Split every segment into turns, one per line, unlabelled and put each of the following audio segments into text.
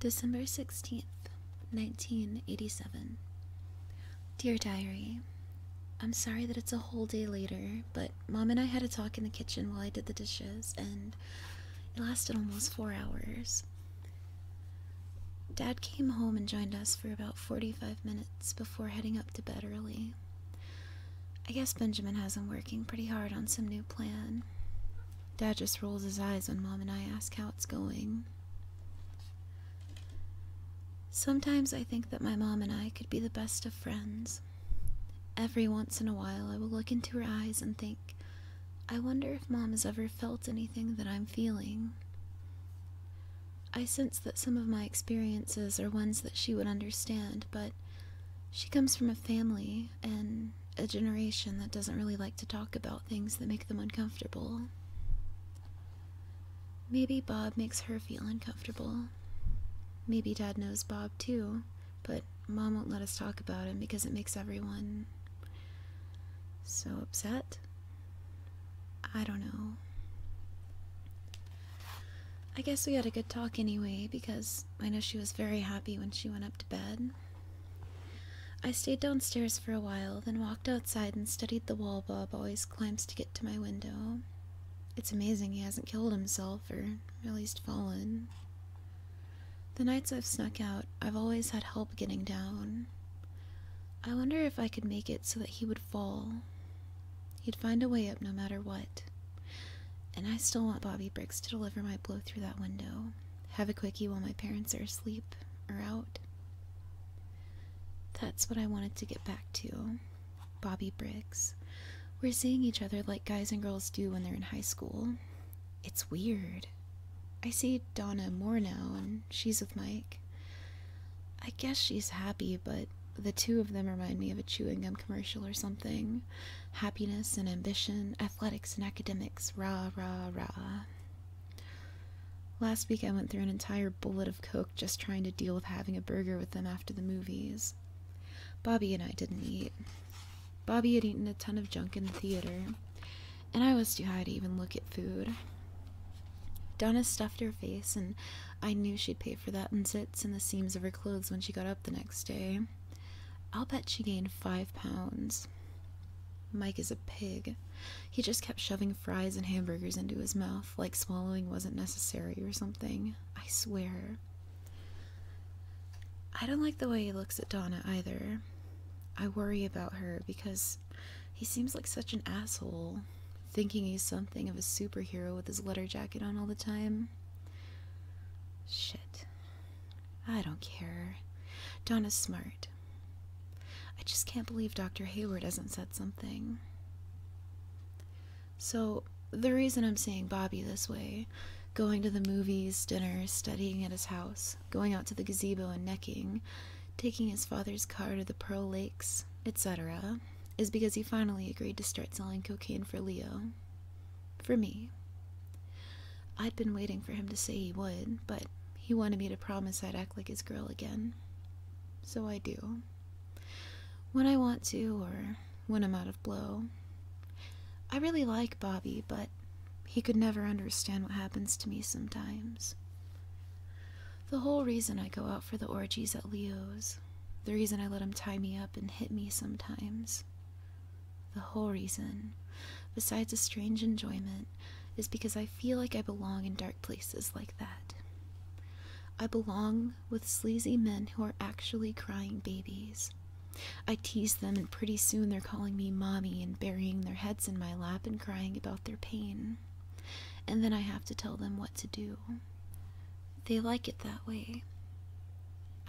December 16th, 1987. Dear Diary, I'm sorry that it's a whole day later, but Mom and I had a talk in the kitchen while I did the dishes, and it lasted almost four hours. Dad came home and joined us for about 45 minutes before heading up to bed early. I guess Benjamin has been working pretty hard on some new plan. Dad just rolls his eyes when Mom and I ask how it's going. Sometimes I think that my mom and I could be the best of friends. Every once in a while, I will look into her eyes and think, I wonder if mom has ever felt anything that I'm feeling. I sense that some of my experiences are ones that she would understand, but she comes from a family and a generation that doesn't really like to talk about things that make them uncomfortable. Maybe Bob makes her feel uncomfortable. Maybe Dad knows Bob too, but Mom won't let us talk about him because it makes everyone so upset. I don't know. I guess we had a good talk anyway because I know she was very happy when she went up to bed. I stayed downstairs for a while, then walked outside and studied the wall Bob always climbs to get to my window. It's amazing he hasn't killed himself, or at least fallen. The nights I've snuck out, I've always had help getting down. I wonder if I could make it so that he would fall. He'd find a way up no matter what. And I still want Bobby Briggs to deliver my blow through that window have a quickie while my parents are asleep or out. That's what I wanted to get back to. Bobby Briggs. We're seeing each other like guys and girls do when they're in high school. It's weird. I see Donna more now, and she's with Mike. I guess she's happy, but the two of them remind me of a chewing gum commercial or something. Happiness and ambition athletics and academics. Rah, rah, rah. Last week I went through an entire bullet of Coke just trying to deal with having a burger with them after the movies. Bobby and I didn't eat. Bobby had eaten a ton of junk in the theater, and I was too high to even look at food. Donna stuffed her face, and I knew she'd pay for that in zits and the seams of her clothes when she got up the next day. I'll bet she gained five pounds. Mike is a pig. He just kept shoving fries and hamburgers into his mouth like swallowing wasn't necessary or something. I swear. I don't like the way he looks at Donna either. I worry about her because he seems like such an asshole, thinking he's something of a superhero with his leather jacket on all the time. Shit. I don't care. Donna's smart. I just can't believe Dr. Hayward hasn't said something. So, the reason I'm seeing Bobby this way going to the movies, dinner, studying at his house, going out to the gazebo and necking, taking his father's car to the Pearl Lakes, etc., is because he finally agreed to start selling cocaine for Leo for me. I'd been waiting for him to say he would, but he wanted me to promise I'd act like his girl again. So I do. When I want to, or when I'm out of blow. I really like Bobby, but he could never understand what happens to me sometimes. The whole reason I go out for the orgies at Leo's, the reason I let him tie me up and hit me sometimes, the whole reason, besides a strange enjoyment, is because I feel like I belong in dark places like that. I belong with sleazy men who are actually crying babies. I tease them, and pretty soon they're calling me mommy and burying their heads in my lap and crying about their pain. And then I have to tell them what to do. They like it that way.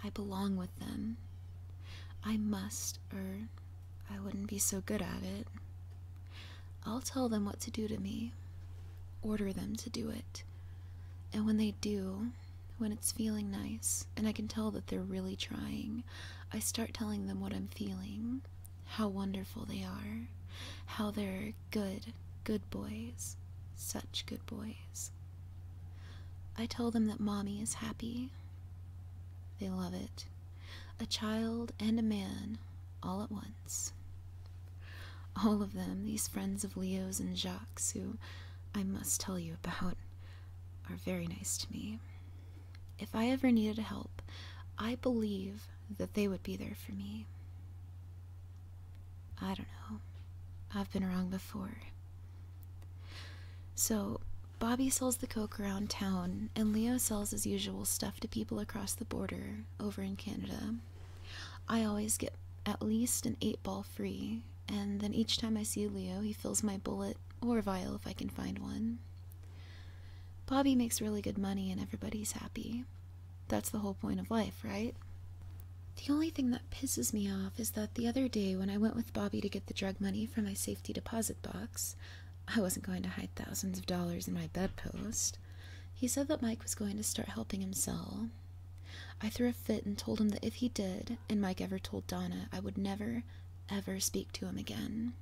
I belong with them. I must, er, I wouldn't be so good at it. I'll tell them what to do to me, order them to do it. And when they do, when it's feeling nice, and I can tell that they're really trying, I start telling them what I'm feeling, how wonderful they are, how they're good, good boys, such good boys. I tell them that mommy is happy, they love it. A child and a man, all at once. All of them, these friends of Leo's and Jacques, who I must tell you about, are very nice to me. If I ever needed help, I believe that they would be there for me. I don't know. I've been wrong before. So, Bobby sells the coke around town, and Leo sells his usual stuff to people across the border over in Canada. I always get at least an eight ball free, and then each time I see Leo, he fills my bullet or vial if I can find one. Bobby makes really good money, and everybody's happy. That's the whole point of life, right? The only thing that pisses me off is that the other day when I went with Bobby to get the drug money from my safety deposit box. I wasn't going to hide thousands of dollars in my bedpost. He said that Mike was going to start helping him sell. I threw a fit and told him that if he did, and Mike ever told Donna, I would never, ever speak to him again.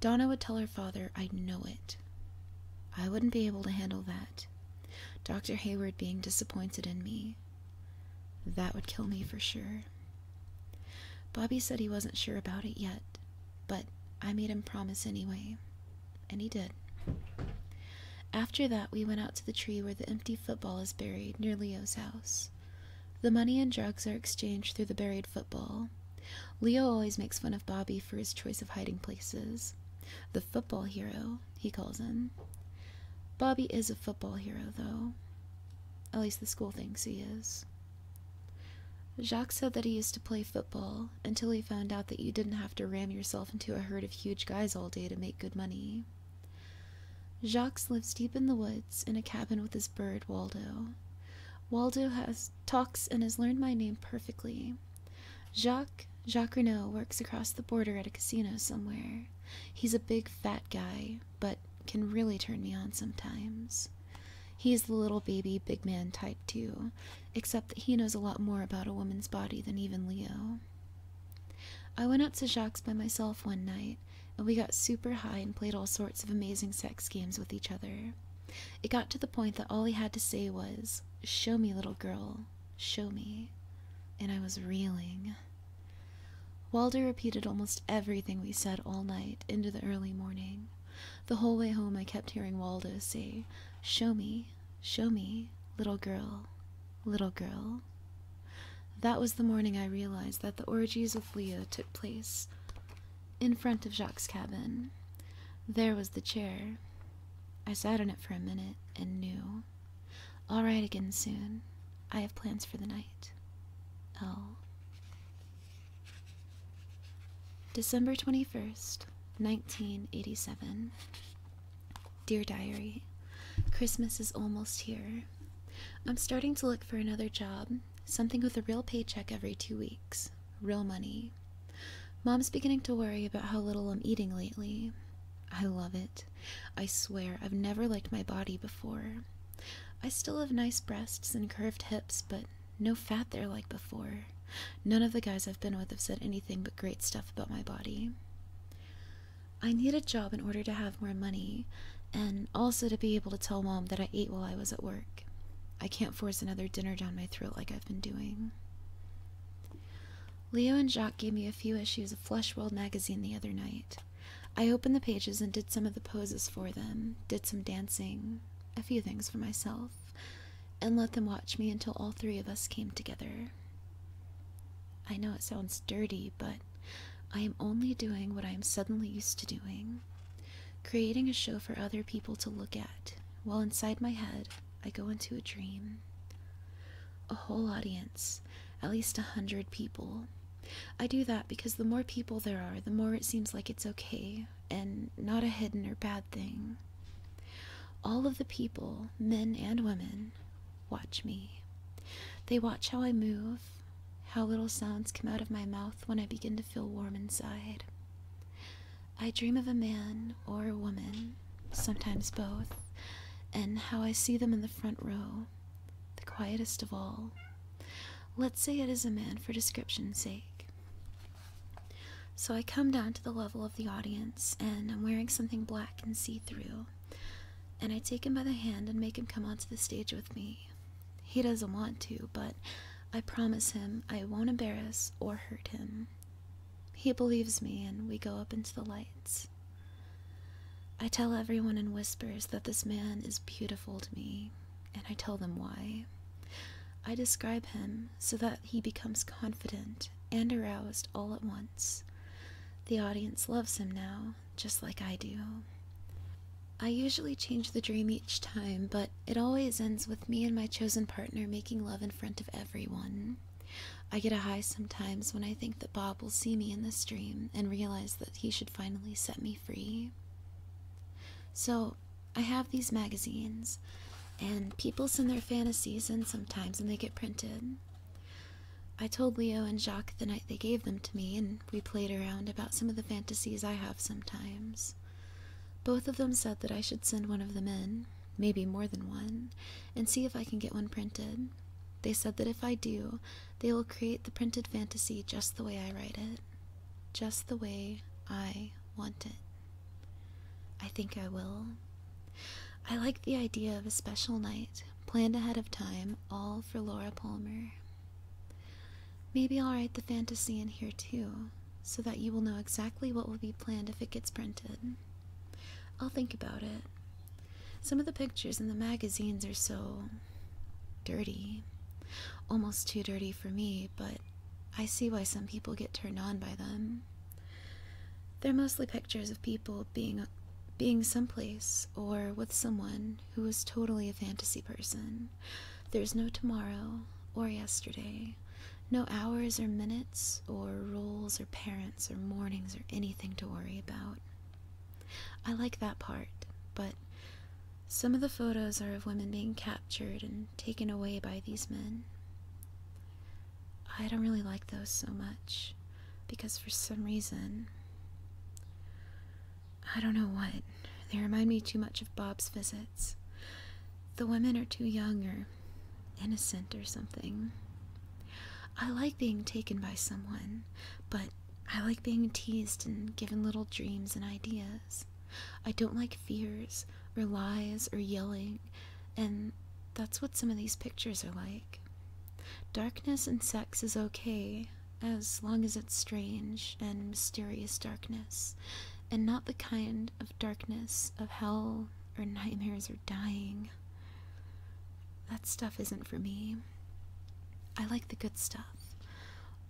Donna would tell her father I know it. I wouldn't be able to handle that. Dr. Hayward being disappointed in me. That would kill me for sure. Bobby said he wasn't sure about it yet, but I made him promise anyway, and he did. After that, we went out to the tree where the empty football is buried near Leo's house. The money and drugs are exchanged through the buried football. Leo always makes fun of Bobby for his choice of hiding places. The football hero, he calls him. Bobby is a football hero, though. At least the school thinks he is. Jacques said that he used to play football until he found out that you didn't have to ram yourself into a herd of huge guys all day to make good money. Jacques lives deep in the woods in a cabin with his bird Waldo. Waldo has talks and has learned my name perfectly. Jacques Jacques works across the border at a casino somewhere. He's a big fat guy, but can really turn me on sometimes. He's the little baby big man type, too, except that he knows a lot more about a woman's body than even Leo. I went out to Jacques by myself one night, and we got super high and played all sorts of amazing sex games with each other. It got to the point that all he had to say was, Show me, little girl, show me. And I was reeling. Waldo repeated almost everything we said all night into the early morning. The whole way home I kept hearing Waldo say, Show me, show me, little girl, little girl. That was the morning I realized that the orgies of Leah took place in front of Jacques's cabin. There was the chair. I sat on it for a minute and knew. I'll ride again soon. I have plans for the night. L. Oh. December 21st, 1987. Dear Diary, Christmas is almost here. I'm starting to look for another job, something with a real paycheck every two weeks, real money. Mom's beginning to worry about how little I'm eating lately. I love it. I swear, I've never liked my body before. I still have nice breasts and curved hips, but no fat there like before. None of the guys I've been with have said anything but great stuff about my body. I need a job in order to have more money, and also to be able to tell mom that I ate while I was at work. I can't force another dinner down my throat like I've been doing. Leo and Jacques gave me a few issues of Flesh World magazine the other night. I opened the pages and did some of the poses for them, did some dancing, a few things for myself, and let them watch me until all three of us came together. I know it sounds dirty, but I am only doing what I am suddenly used to doing creating a show for other people to look at, while inside my head I go into a dream. A whole audience, at least a hundred people, I do that because the more people there are, the more it seems like it's okay and not a hidden or bad thing. All of the people, men and women, watch me. They watch how I move, how little sounds come out of my mouth when I begin to feel warm inside. I dream of a man or a woman, sometimes both, and how I see them in the front row, the quietest of all. Let's say it is a man for description's sake. So I come down to the level of the audience, and I'm wearing something black and see through. And I take him by the hand and make him come onto the stage with me. He doesn't want to, but I promise him I won't embarrass or hurt him. He believes me, and we go up into the lights. I tell everyone in whispers that this man is beautiful to me, and I tell them why. I describe him so that he becomes confident and aroused all at once. The audience loves him now, just like I do. I usually change the dream each time, but it always ends with me and my chosen partner making love in front of everyone. I get a high sometimes when I think that Bob will see me in this dream and realize that he should finally set me free. So, I have these magazines, and people send their fantasies in sometimes and they get printed. I told Leo and Jacques the night they gave them to me, and we played around about some of the fantasies I have sometimes. Both of them said that I should send one of them in, maybe more than one, and see if I can get one printed. They said that if I do, they will create the printed fantasy just the way I write it, just the way I want it. I think I will. I like the idea of a special night, planned ahead of time, all for Laura Palmer. Maybe I'll write the fantasy in here too, so that you will know exactly what will be planned if it gets printed. I'll think about it. Some of the pictures in the magazines are so dirty. Almost too dirty for me, but I see why some people get turned on by them. They're mostly pictures of people being being someplace or with someone who is totally a fantasy person. There's no tomorrow or yesterday, no hours or minutes or rules or parents or mornings or anything to worry about. I like that part, but some of the photos are of women being captured and taken away by these men. I don't really like those so much because for some reason I don't know what they remind me too much of Bob's visits. The women are too young or innocent or something. I like being taken by someone, but I like being teased and given little dreams and ideas. I don't like fears or lies or yelling, and that's what some of these pictures are like. Darkness and sex is okay as long as it's strange and mysterious darkness, and not the kind of darkness of hell or nightmares or dying. That stuff isn't for me. I like the good stuff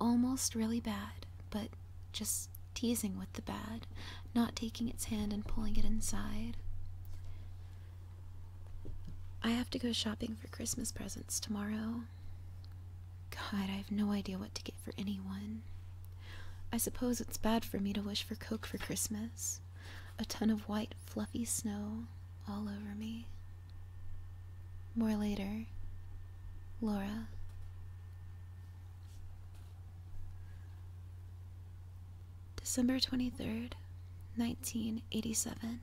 almost really bad, but just teasing with the bad, not taking its hand and pulling it inside. I have to go shopping for Christmas presents tomorrow. God, I have no idea what to get for anyone. I suppose it's bad for me to wish for Coke for Christmas. A ton of white, fluffy snow all over me. More later, Laura. December 23rd, 1987.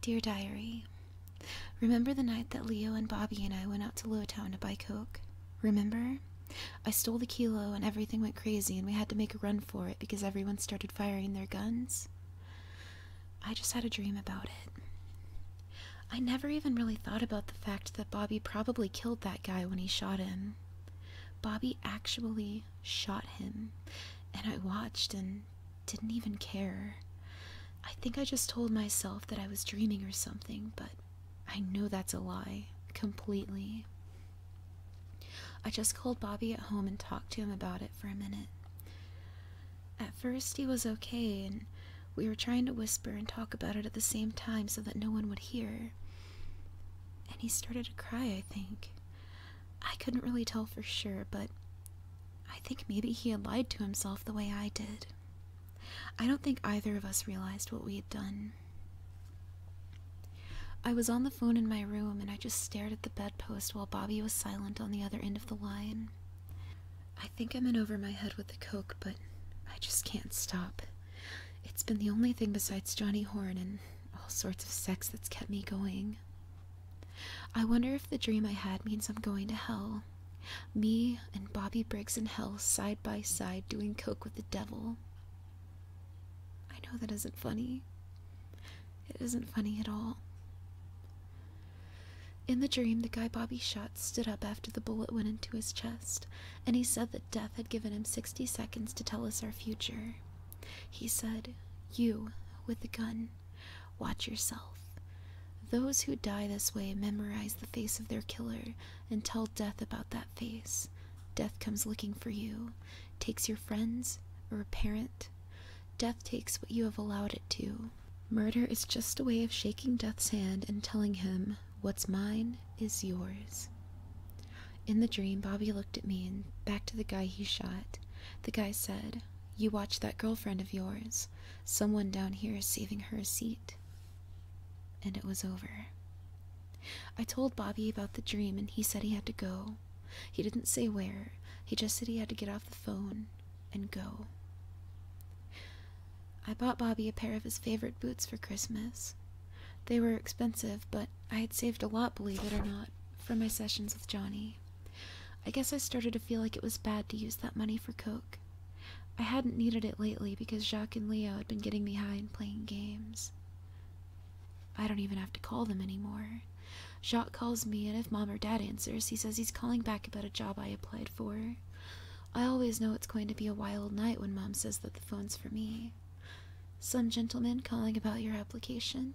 Dear Diary, remember the night that Leo and Bobby and I went out to Lowtown to buy Coke? Remember? I stole the kilo and everything went crazy and we had to make a run for it because everyone started firing their guns? I just had a dream about it. I never even really thought about the fact that Bobby probably killed that guy when he shot him. Bobby actually shot him, and I watched and didn't even care. I think I just told myself that I was dreaming or something, but I know that's a lie, completely. I just called Bobby at home and talked to him about it for a minute. At first, he was okay, and we were trying to whisper and talk about it at the same time so that no one would hear. And he started to cry, I think. I couldn't really tell for sure, but I think maybe he had lied to himself the way I did. I don't think either of us realized what we had done. I was on the phone in my room and I just stared at the bedpost while Bobby was silent on the other end of the line. I think I'm in over my head with the coke, but I just can't stop. It's been the only thing besides Johnny Horn and all sorts of sex that's kept me going. I wonder if the dream I had means I'm going to hell. Me and Bobby Briggs in hell side by side doing coke with the devil. I know that isn't funny. It isn't funny at all. In the dream, the guy Bobby shot stood up after the bullet went into his chest, and he said that death had given him 60 seconds to tell us our future. He said, You, with the gun, watch yourself. Those who die this way memorize the face of their killer and tell death about that face. Death comes looking for you, takes your friends or a parent. Death takes what you have allowed it to Murder is just a way of shaking Death's hand and telling him, What's mine is yours. In the dream, Bobby looked at me and back to the guy he shot. The guy said, You watch that girlfriend of yours. Someone down here is saving her a seat. And it was over. I told Bobby about the dream and he said he had to go. He didn't say where, he just said he had to get off the phone and go. I bought Bobby a pair of his favorite boots for Christmas. They were expensive, but I had saved a lot, believe it or not, from my sessions with Johnny. I guess I started to feel like it was bad to use that money for Coke. I hadn't needed it lately because Jacques and Leo had been getting me high and playing games. I don't even have to call them anymore. Jacques calls me, and if mom or dad answers, he says he's calling back about a job I applied for. I always know it's going to be a wild night when mom says that the phone's for me. Some gentleman calling about your application.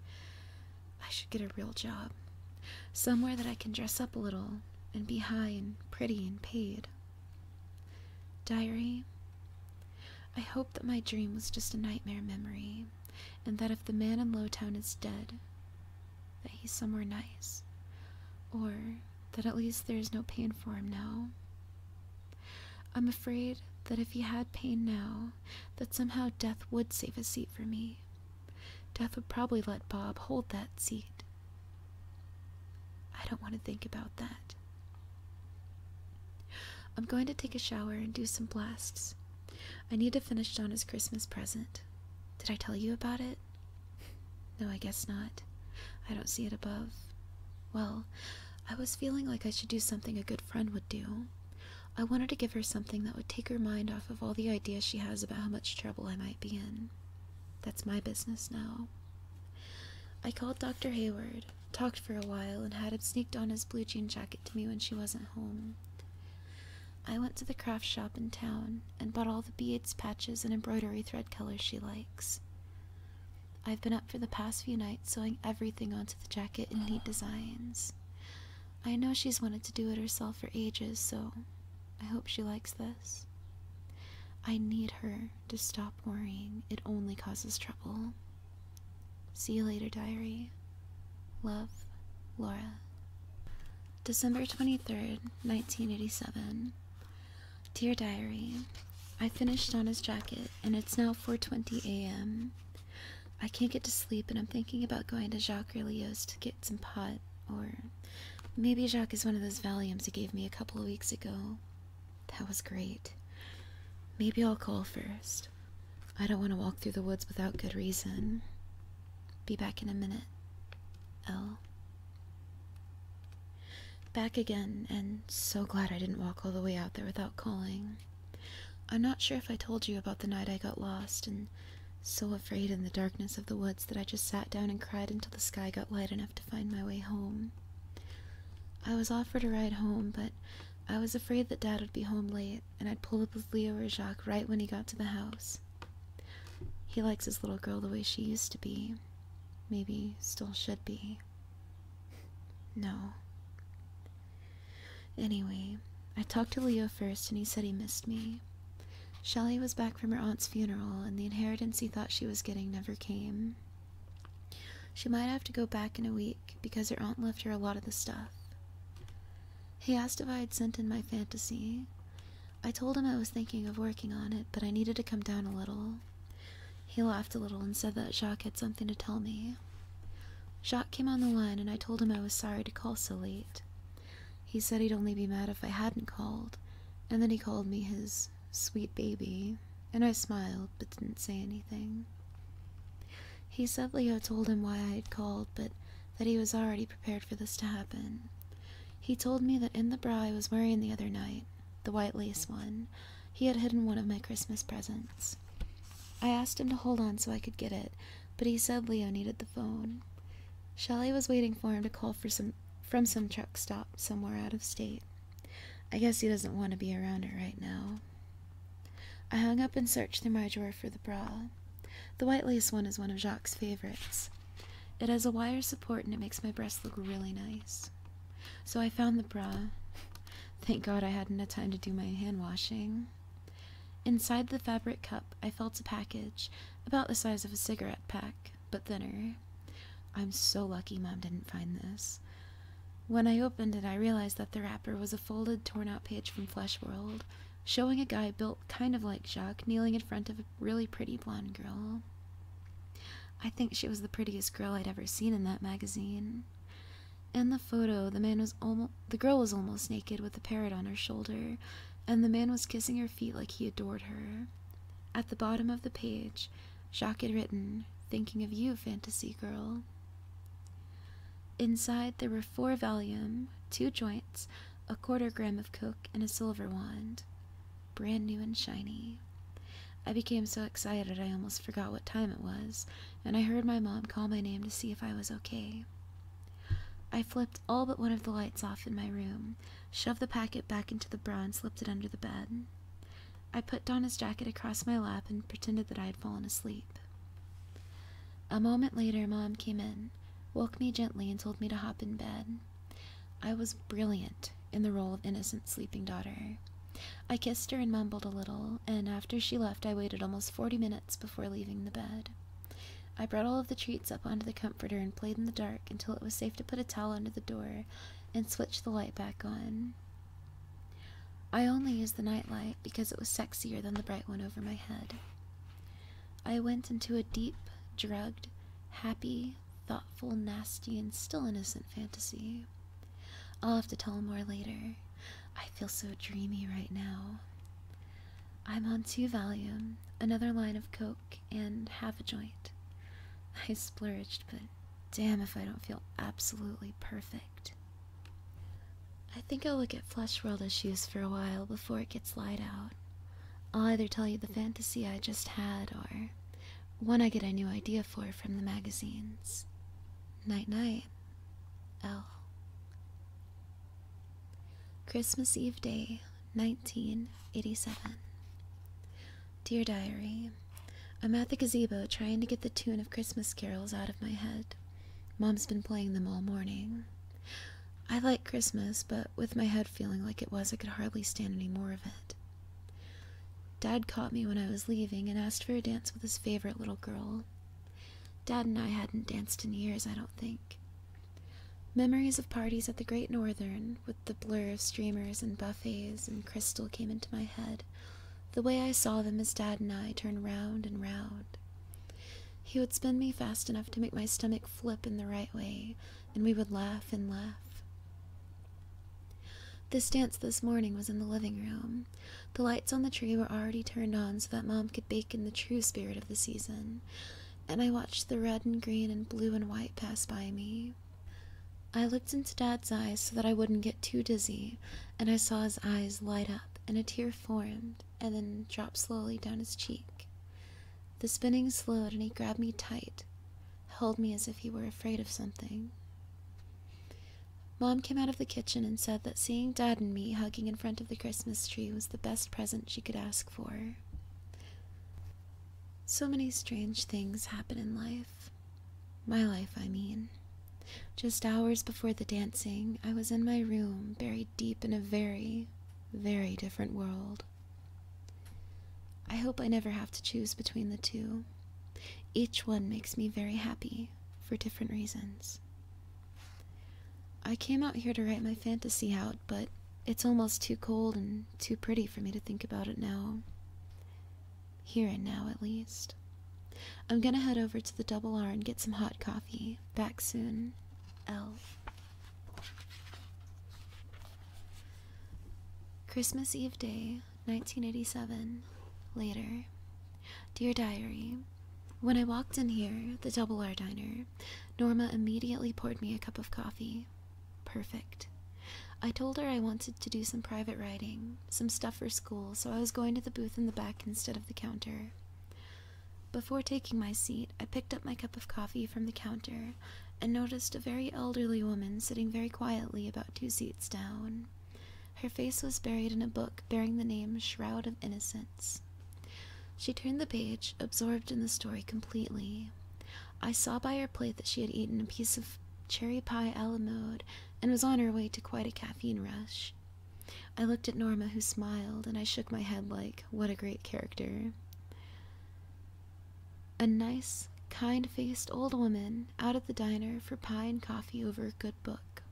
I should get a real job. Somewhere that I can dress up a little and be high and pretty and paid. Diary, I hope that my dream was just a nightmare memory and that if the man in Lowtown is dead, that he's somewhere nice, or that at least there is no pain for him now. I'm afraid that if he had pain now, that somehow death would save a seat for me. Death would probably let Bob hold that seat. I don't want to think about that. I'm going to take a shower and do some blasts, I need to finish Donna's Christmas present. Did I tell you about it? No, I guess not. I don't see it above. Well, I was feeling like I should do something a good friend would do. I wanted to give her something that would take her mind off of all the ideas she has about how much trouble I might be in. That's my business now. I called Dr. Hayward, talked for a while, and had him sneak his blue jean jacket to me when she wasn't home. I went to the craft shop in town and bought all the beads, patches, and embroidery thread colors she likes. I've been up for the past few nights sewing everything onto the jacket in neat designs. I know she's wanted to do it herself for ages, so I hope she likes this. I need her to stop worrying, it only causes trouble. See you later, diary. Love, Laura. December 23rd, 1987. Dear diary, I finished Donna's jacket and it's now 4:20 a.m. I can't get to sleep and I'm thinking about going to Jacques to get some pot or maybe Jacques is one of those Valiums he gave me a couple of weeks ago. That was great. Maybe I'll call first. I don't want to walk through the woods without good reason. Be back in a minute. L. Back again, and so glad I didn't walk all the way out there without calling. I'm not sure if I told you about the night I got lost and so afraid in the darkness of the woods that I just sat down and cried until the sky got light enough to find my way home. I was offered a ride home, but I was afraid that Dad would be home late, and I'd pull up with Leo or Jacques right when he got to the house. He likes his little girl the way she used to be. Maybe still should be. No. Anyway, I talked to Leo first and he said he missed me. Shelley was back from her aunt's funeral and the inheritance he thought she was getting never came. She might have to go back in a week because her aunt left her a lot of the stuff. He asked if I had sent in my fantasy. I told him I was thinking of working on it, but I needed to come down a little. He laughed a little and said that Jacques had something to tell me. Jacques came on the line, and I told him I was sorry to call so late. He said he'd only be mad if I hadn't called, and then he called me his sweet baby, and I smiled but didn't say anything. He said Leo told him why I had called, but that he was already prepared for this to happen. He told me that in the bra I was wearing the other night, the white lace one, he had hidden one of my Christmas presents. I asked him to hold on so I could get it, but he said Leo needed the phone. Shelley was waiting for him to call from some truck stop somewhere out of state. I guess he doesn't want to be around her right now. I hung up and searched through my drawer for the bra. The white lace one is one of Jacques' favorites. It has a wire support and it makes my breasts look really nice. So I found the bra. Thank God I hadn't had time to do my hand washing. Inside the fabric cup, I felt a package about the size of a cigarette pack, but thinner. I'm so lucky Mom didn't find this. When I opened it, I realized that the wrapper was a folded, torn out page from Flesh World showing a guy built kind of like Jacques kneeling in front of a really pretty blonde girl. I think she was the prettiest girl I'd ever seen in that magazine. In the photo, the man was the girl was almost naked with a parrot on her shoulder, and the man was kissing her feet like he adored her. At the bottom of the page, Jacques had written, Thinking of you, fantasy girl. Inside, there were four volume, two joints, a quarter gram of coke, and a silver wand. Brand new and shiny. I became so excited I almost forgot what time it was, and I heard my mom call my name to see if I was okay. I flipped all but one of the lights off in my room, shoved the packet back into the bra, and slipped it under the bed. I put Donna's jacket across my lap and pretended that I had fallen asleep. A moment later, Mom came in, woke me gently, and told me to hop in bed. I was brilliant in the role of innocent sleeping daughter. I kissed her and mumbled a little, and after she left, I waited almost forty minutes before leaving the bed. I brought all of the treats up onto the comforter and played in the dark until it was safe to put a towel under the door and switch the light back on. I only used the nightlight because it was sexier than the bright one over my head. I went into a deep, drugged, happy, thoughtful, nasty, and still innocent fantasy. I'll have to tell more later. I feel so dreamy right now. I'm on two Valium, another line of Coke, and half a joint. I splurged, but damn if I don't feel absolutely perfect. I think I'll look at Flesh World issues for a while before it gets light out. I'll either tell you the fantasy I just had or one I get a new idea for from the magazines. Night night. L. Christmas Eve Day, 1987. Dear Diary, I'm at the gazebo trying to get the tune of Christmas carols out of my head. Mom's been playing them all morning. I like Christmas, but with my head feeling like it was, I could hardly stand any more of it. Dad caught me when I was leaving and asked for a dance with his favorite little girl. Dad and I hadn't danced in years, I don't think. Memories of parties at the Great Northern, with the blur of streamers and buffets and crystal, came into my head, the way I saw them as Dad and I turned round and round. He would spin me fast enough to make my stomach flip in the right way, and we would laugh and laugh. This dance this morning was in the living room. The lights on the tree were already turned on so that Mom could bake in the true spirit of the season, and I watched the red and green and blue and white pass by me. I looked into Dad's eyes so that I wouldn't get too dizzy, and I saw his eyes light up and a tear formed and then dropped slowly down his cheek. The spinning slowed, and he grabbed me tight, held me as if he were afraid of something. Mom came out of the kitchen and said that seeing Dad and me hugging in front of the Christmas tree was the best present she could ask for. So many strange things happen in life. My life, I mean. Just hours before the dancing, I was in my room, buried deep in a very, very different world. I hope I never have to choose between the two. Each one makes me very happy for different reasons. I came out here to write my fantasy out, but it's almost too cold and too pretty for me to think about it now. Here and now, at least. I'm gonna head over to the Double R and get some hot coffee. Back soon. L. Christmas Eve Day, 1987. Later. Dear Diary, when I walked in here, the Double R Diner, Norma immediately poured me a cup of coffee. Perfect. I told her I wanted to do some private writing, some stuff for school, so I was going to the booth in the back instead of the counter. Before taking my seat, I picked up my cup of coffee from the counter and noticed a very elderly woman sitting very quietly about two seats down. Her face was buried in a book bearing the name Shroud of Innocence. She turned the page, absorbed in the story completely. I saw by her plate that she had eaten a piece of cherry pie a la mode and was on her way to quite a caffeine rush. I looked at Norma, who smiled, and I shook my head like, what a great character. A nice, kind faced old woman out at the diner for pie and coffee over a good book.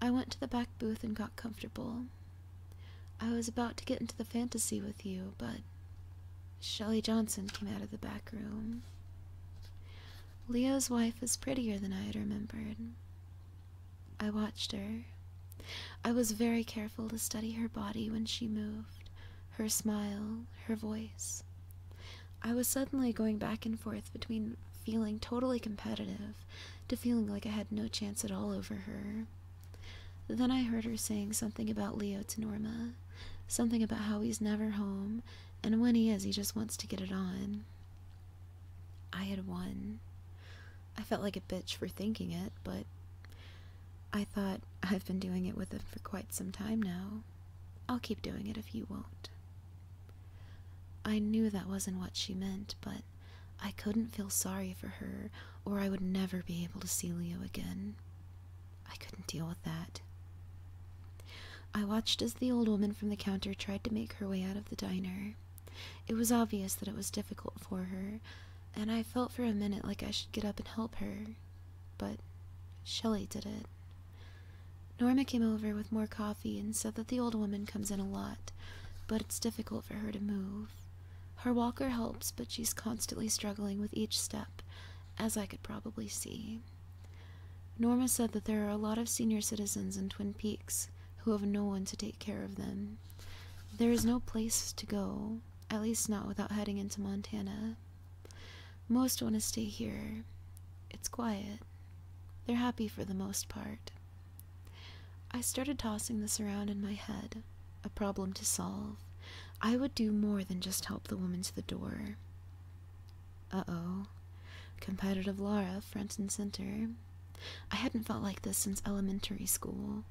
I went to the back booth and got comfortable. I was about to get into the fantasy with you, but Shelley Johnson came out of the back room. Leo's wife is prettier than I had remembered. I watched her. I was very careful to study her body when she moved, her smile, her voice. I was suddenly going back and forth between feeling totally competitive to feeling like I had no chance at all over her. Then I heard her saying something about Leo to Norma, something about how he's never home, and when he is, he just wants to get it on. I had won. I felt like a bitch for thinking it, but I thought I've been doing it with him for quite some time now. I'll keep doing it if you won't. I knew that wasn't what she meant, but I couldn't feel sorry for her, or I would never be able to see Leo again. I couldn't deal with that. I watched as the old woman from the counter tried to make her way out of the diner. It was obvious that it was difficult for her, and I felt for a minute like I should get up and help her, but Shelley did it. Norma came over with more coffee and said that the old woman comes in a lot, but it's difficult for her to move. Her walker helps, but she's constantly struggling with each step, as I could probably see. Norma said that there are a lot of senior citizens in Twin Peaks, who have no one to take care of them. There is no place to go, at least not without heading into Montana. Most want to stay here. It's quiet. They're happy for the most part. I started tossing this around in my head, a problem to solve. I would do more than just help the woman to the door. Uh oh. Competitive Laura, front and center. I hadn't felt like this since elementary school.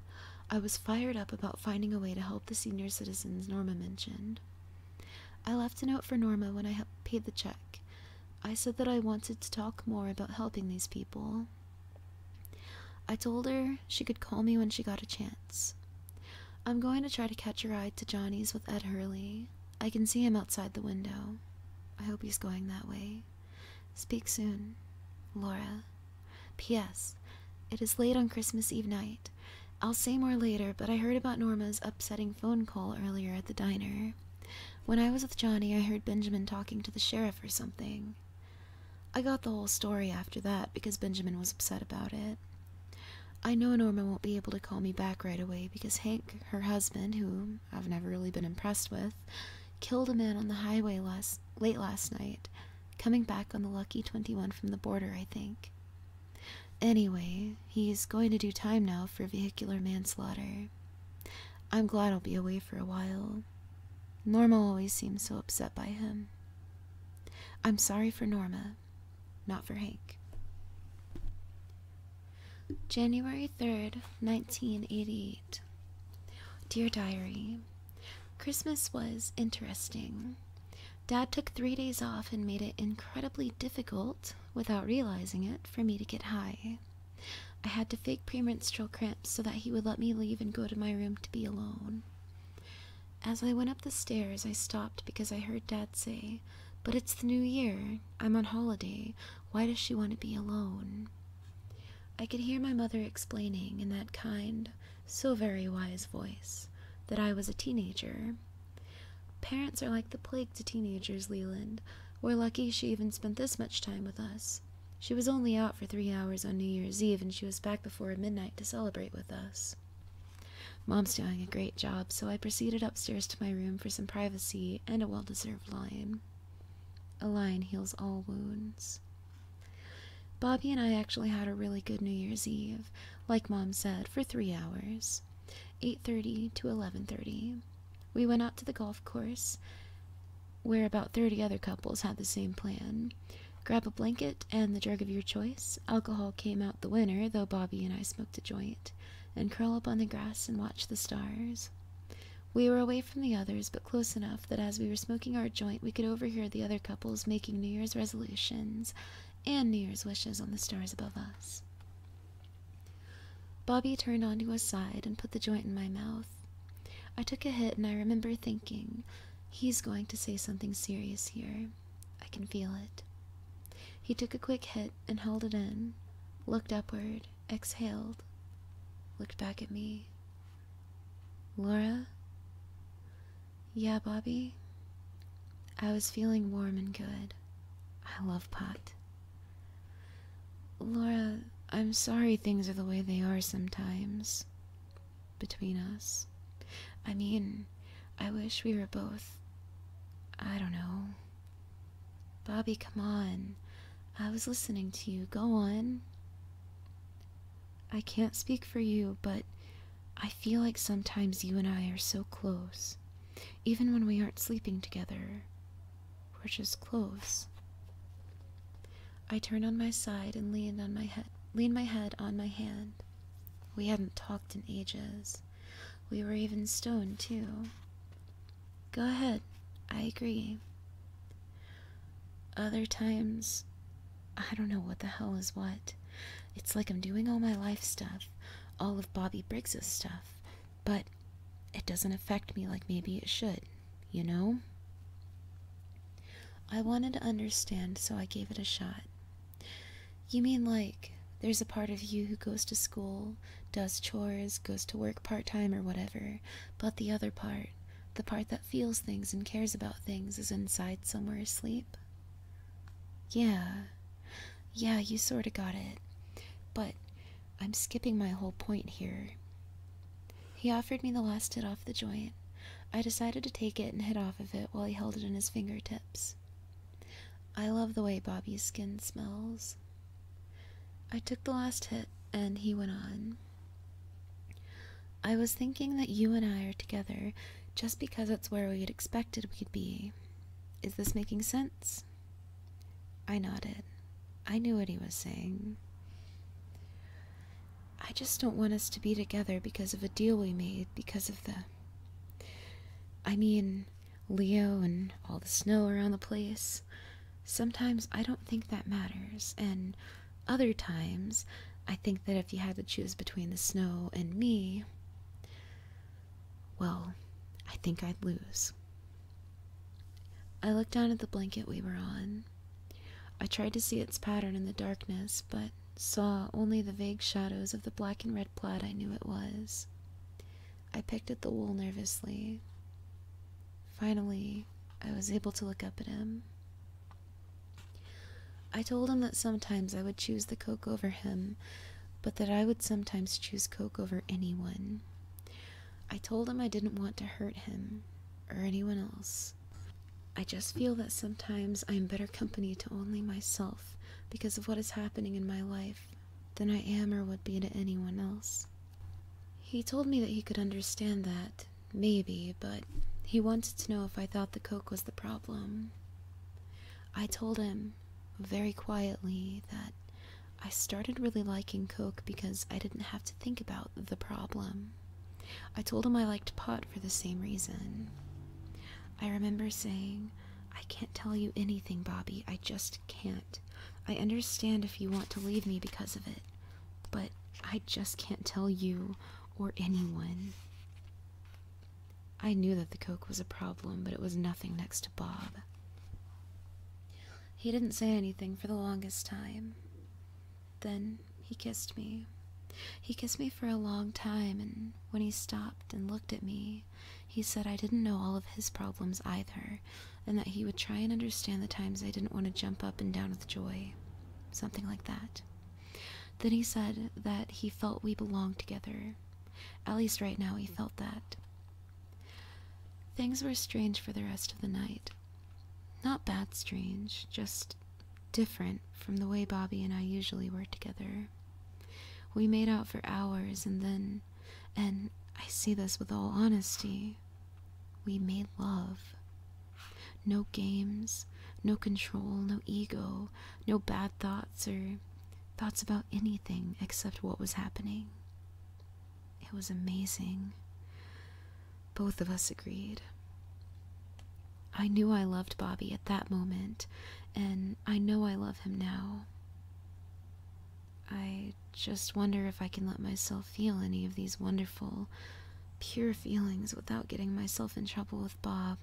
I was fired up about finding a way to help the senior citizens Norma mentioned. I left a note for Norma when I paid the check. I said that I wanted to talk more about helping these people. I told her she could call me when she got a chance. I'm going to try to catch a ride to Johnny's with Ed Hurley. I can see him outside the window. I hope he's going that way. Speak soon, Laura. P.S. It is late on Christmas Eve night. I'll say more later, but I heard about Norma's upsetting phone call earlier at the diner. When I was with Johnny, I heard Benjamin talking to the sheriff or something. I got the whole story after that because Benjamin was upset about it. I know Norma won't be able to call me back right away because Hank, her husband, whom I've never really been impressed with, killed a man on the highway last late last night, coming back on the lucky 21 from the border, I think. Anyway, he's going to do time now for vehicular manslaughter. I'm glad I'll be away for a while. Norma always seems so upset by him. I'm sorry for Norma, not for Hank. January 3rd, 1980. Dear Diary, Christmas was interesting. Dad took three days off and made it incredibly difficult, without realizing it, for me to get high. I had to fake premenstrual cramps so that he would let me leave and go to my room to be alone. As I went up the stairs, I stopped because I heard Dad say, But it's the new year. I'm on holiday. Why does she want to be alone? I could hear my mother explaining in that kind, so very wise voice that I was a teenager. Parents are like the plague to teenagers, Leland. We're lucky she even spent this much time with us. She was only out for three hours on New Year's Eve, and she was back before midnight to celebrate with us. Mom's doing a great job, so I proceeded upstairs to my room for some privacy and a well deserved lie line. A lion heals all wounds. Bobby and I actually had a really good New Year's Eve, like Mom said, for three hours, 8:30 to 11:30. We went out to the golf course, where about 30 other couples had the same plan. Grab a blanket and the drug of your choice. Alcohol came out the winner, though Bobby and I smoked a joint, and curl up on the grass and watch the stars. We were away from the others, but close enough that as we were smoking our joint, we could overhear the other couples making New Year's resolutions and New Year's wishes on the stars above us. Bobby turned onto his side and put the joint in my mouth. I took a hit, and I remember thinking, he's going to say something serious here. I can feel it. He took a quick hit and held it in, looked upward, exhaled, looked back at me. Laura? Yeah, Bobby? I was feeling warm and good. I love pot. Laura, I'm sorry things are the way they are sometimes. Between us. I mean, I wish we were both. I don't know. Bobby, come on. I was listening to you. Go on. I can't speak for you, but I feel like sometimes you and I are so close. Even when we aren't sleeping together, we're just close. I turned on my side and leaned on my head lean my head on my hand. We hadn't talked in ages. We were even stone too. Go ahead, I agree. Other times, I don't know what the hell is what. It's like I'm doing all my life stuff, all of Bobby Briggs's stuff, but it doesn't affect me like maybe it should, you know? I wanted to understand, so I gave it a shot. You mean like there's a part of you who goes to school, does chores, goes to work part time or whatever, but the other part, the part that feels things and cares about things, is inside somewhere asleep? Yeah. Yeah, you sorta got it. But I'm skipping my whole point here. He offered me the last hit off the joint. I decided to take it and hit off of it while he held it in his fingertips. I love the way Bobby's skin smells. I took the last hit, and he went on. I was thinking that you and I are together just because it's where we had expected we'd be. Is this making sense? I nodded. I knew what he was saying. I just don't want us to be together because of a deal we made, because of the. I mean, Leo and all the snow around the place. Sometimes I don't think that matters, and other times I think that if you had to choose between the snow and me, well, I think I'd lose. I looked down at the blanket we were on. I tried to see its pattern in the darkness, but saw only the vague shadows of the black and red plaid I knew it was. I picked at the wool nervously. Finally, I was able to look up at him. I told him that sometimes I would choose the Coke over him, but that I would sometimes choose Coke over anyone. I told him I didn't want to hurt him or anyone else. I just feel that sometimes I am better company to only myself because of what is happening in my life than I am or would be to anyone else. He told me that he could understand that, maybe, but he wanted to know if I thought the coke was the problem. I told him, very quietly, that I started really liking coke because I didn't have to think about the problem. I told him I liked pot for the same reason. I remember saying, I can't tell you anything, Bobby. I just can't. I understand if you want to leave me because of it but I just can't tell you or anyone. I knew that the coke was a problem, but it was nothing next to Bob. He didn't say anything for the longest time. Then he kissed me. He kissed me for a long time, and when he stopped and looked at me, he said I didn't know all of his problems either, and that he would try and understand the times I didn't want to jump up and down with joy. Something like that. Then he said that he felt we belonged together. At least right now, he felt that. Things were strange for the rest of the night. Not bad strange, just different from the way Bobby and I usually were together. We made out for hours and then, and I say this with all honesty, we made love. No games, no control, no ego, no bad thoughts or thoughts about anything except what was happening. It was amazing. Both of us agreed. I knew I loved Bobby at that moment, and I know I love him now. I just wonder if I can let myself feel any of these wonderful, pure feelings without getting myself in trouble with Bob.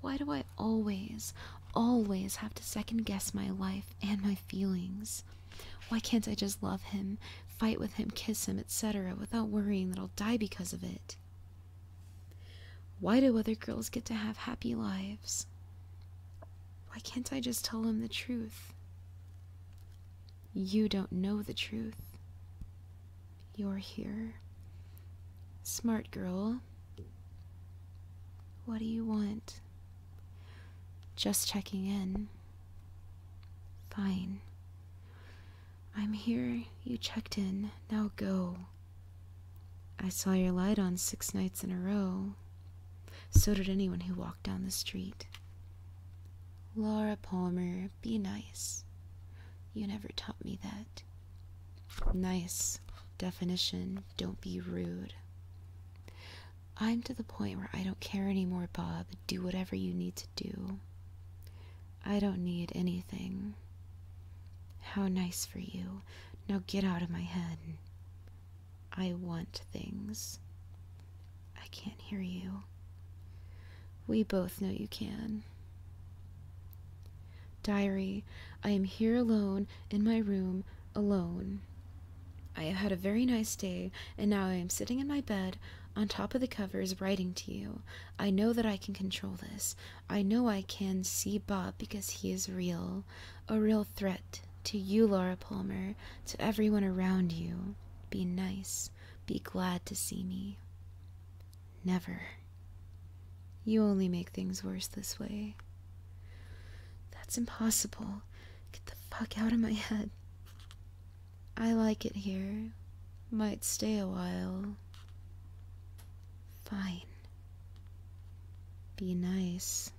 Why do I always, always have to second guess my life and my feelings? Why can't I just love him, fight with him, kiss him, etc., without worrying that I'll die because of it? Why do other girls get to have happy lives? Why can't I just tell him the truth? You don't know the truth. You're here. Smart girl. What do you want? Just checking in. Fine. I'm here. You checked in. Now go. I saw your light on six nights in a row. So did anyone who walked down the street. Laura Palmer, be nice. You never taught me that. Nice definition, don't be rude. I'm to the point where I don't care anymore, Bob. Do whatever you need to do. I don't need anything. How nice for you. Now get out of my head. I want things. I can't hear you. We both know you can. Diary, I am here alone in my room, alone. I have had a very nice day, and now I am sitting in my bed on top of the covers writing to you. I know that I can control this. I know I can see Bob because he is real, a real threat to you, Laura Palmer, to everyone around you. Be nice. Be glad to see me. Never. You only make things worse this way. That's impossible. Get the fuck out of my head. I like it here. Might stay a while. Fine. Be nice.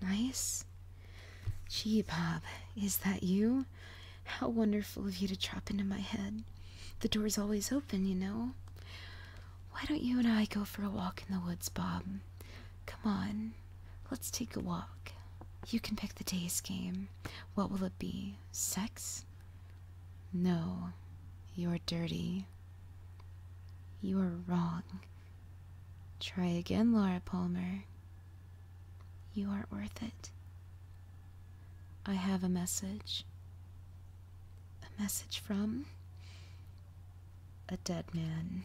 Nice? Gee, Bob, is that you? How wonderful of you to drop into my head. The door's always open, you know. Why don't you and I go for a walk in the woods, Bob? Come on, let's take a walk. You can pick the day's game. What will it be? Sex? No, you're dirty. You are wrong. Try again, Laura Palmer. You aren't worth it. I have a message. A message from? A dead man.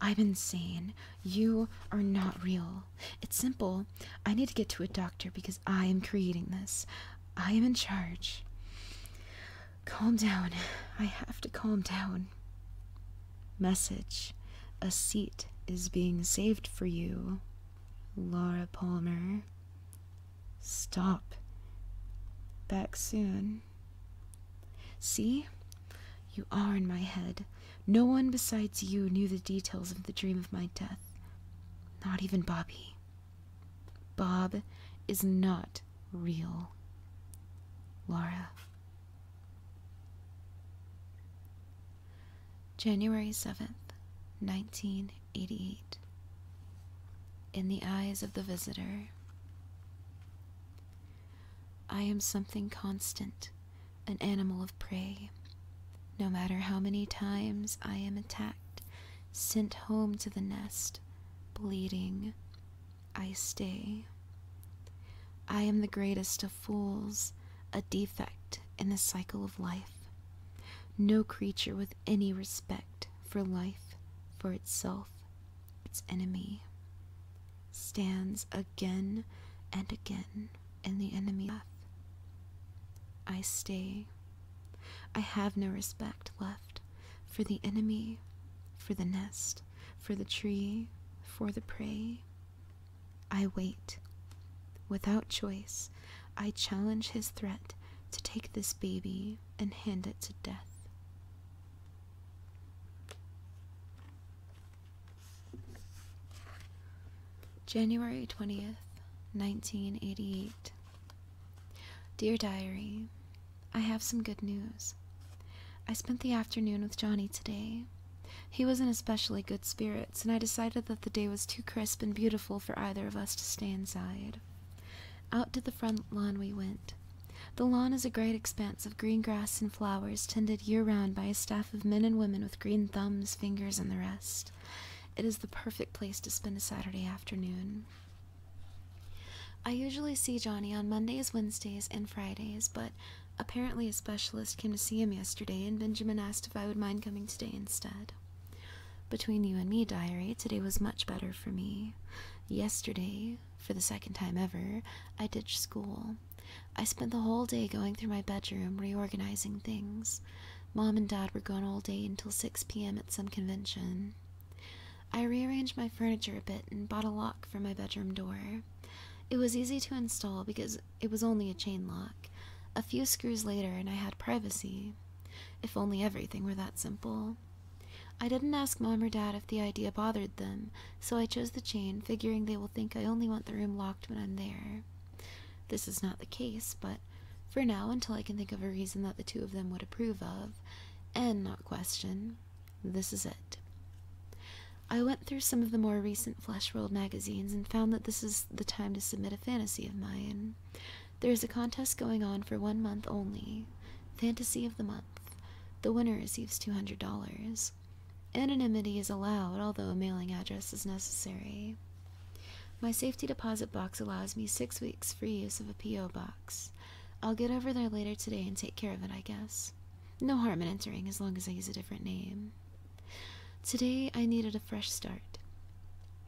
I'm insane. You are not real. It's simple. I need to get to a doctor because I am creating this. I am in charge. Calm down. I have to calm down. Message. A seat is being saved for you. Laura Palmer. Stop. Back soon. See? You are in my head. No one besides you knew the details of the dream of my death. Not even Bobby. Bob is not real. Laura. January 7th, 1988. In the eyes of the visitor, I am something constant, an animal of prey. No matter how many times I am attacked, sent home to the nest, bleeding, I stay. I am the greatest of fools, a defect in the cycle of life. No creature with any respect for life, for itself, its enemy, stands again and again in the enemy path. I stay. I have no respect left for the enemy, for the nest, for the tree, for the prey. I wait. Without choice, I challenge his threat to take this baby and hand it to death. January 20th, 1988. Dear Diary, I have some good news. I spent the afternoon with Johnny today. He was in especially good spirits, and I decided that the day was too crisp and beautiful for either of us to stay inside. Out to the front lawn we went. The lawn is a great expanse of green grass and flowers tended year round by a staff of men and women with green thumbs, fingers, and the rest. It is the perfect place to spend a Saturday afternoon. I usually see Johnny on Mondays, Wednesdays, and Fridays, but apparently a specialist came to see him yesterday, and Benjamin asked if I would mind coming today instead. Between you and me, diary, today was much better for me. Yesterday, for the second time ever, I ditched school. I spent the whole day going through my bedroom, reorganizing things. Mom and Dad were gone all day until 6 p.m. at some convention. I rearranged my furniture a bit and bought a lock for my bedroom door. It was easy to install because it was only a chain lock. A few screws later, and I had privacy. If only everything were that simple. I didn't ask mom or dad if the idea bothered them, so I chose the chain, figuring they will think I only want the room locked when I'm there. This is not the case, but for now, until I can think of a reason that the two of them would approve of, and not question, this is it. I went through some of the more recent Flesh World magazines and found that this is the time to submit a fantasy of mine. There is a contest going on for one month only. Fantasy of the month. The winner receives $200. Anonymity is allowed, although a mailing address is necessary. My safety deposit box allows me six weeks free use of a P.O. box. I'll get over there later today and take care of it, I guess. No harm in entering as long as I use a different name. Today I needed a fresh start.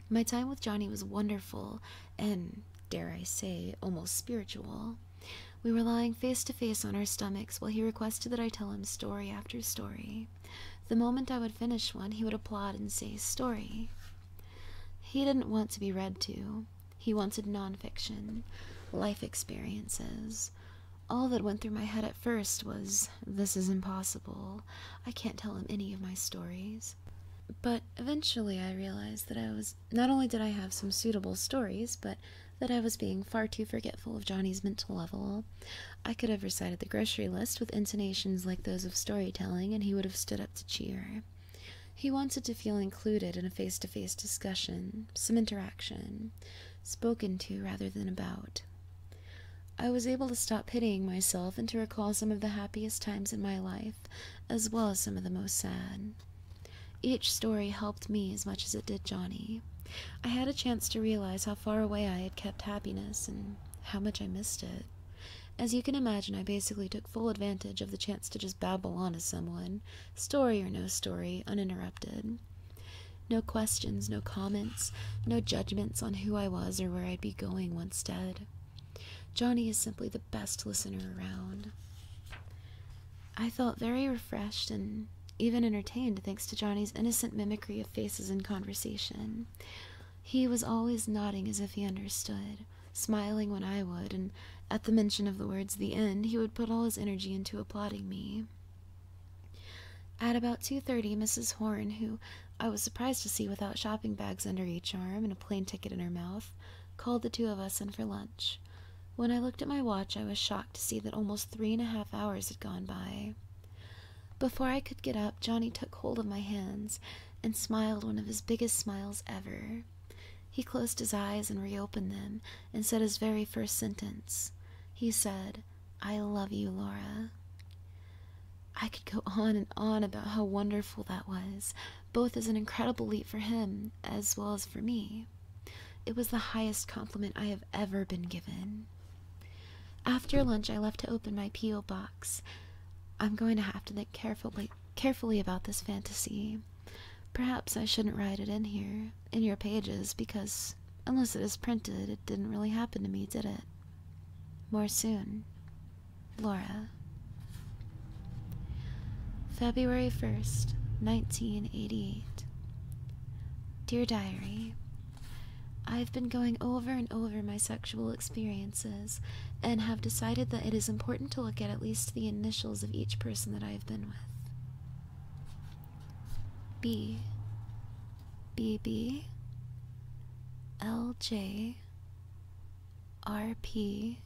My time with Johnny was wonderful and, dare I say, almost spiritual. We were lying face to face on our stomachs while he requested that I tell him story after story. The moment I would finish one, he would applaud and say, Story. He didn't want to be read to. He wanted nonfiction, life experiences. All that went through my head at first was this is impossible. I can't tell him any of my stories. But eventually I realized that I was not only did I have some suitable stories, but that I was being far too forgetful of Johnny's mental level. I could have recited the grocery list with intonations like those of storytelling, and he would have stood up to cheer. He wanted to feel included in a face to face discussion, some interaction, spoken to rather than about. I was able to stop pitying myself and to recall some of the happiest times in my life, as well as some of the most sad. Each story helped me as much as it did Johnny. I had a chance to realize how far away I had kept happiness and how much I missed it. As you can imagine, I basically took full advantage of the chance to just babble on to someone, story or no story, uninterrupted. No questions, no comments, no judgments on who I was or where I'd be going once dead. Johnny is simply the best listener around. I felt very refreshed and even entertained thanks to Johnny's innocent mimicry of faces and conversation. He was always nodding as if he understood, smiling when I would, and at the mention of the words the end, he would put all his energy into applauding me. At about 2:30, Mrs. Horn, who I was surprised to see without shopping bags under each arm and a plane ticket in her mouth, called the two of us in for lunch. When I looked at my watch, I was shocked to see that almost three and a half hours had gone by. Before I could get up, Johnny took hold of my hands and smiled one of his biggest smiles ever. He closed his eyes and reopened them and said his very first sentence. He said, I love you, Laura. I could go on and on about how wonderful that was, both as an incredible leap for him as well as for me. It was the highest compliment I have ever been given. After lunch, I left to open my P.O. box. I'm going to have to think carefully, carefully about this fantasy. Perhaps I shouldn't write it in here, in your pages, because unless it is printed, it didn't really happen to me, did it? More soon. Laura. February 1st, 1988. Dear Diary, I've been going over and over my sexual experiences and have decided that it is important to look at at least the initials of each person that I've been with. B B B L J R P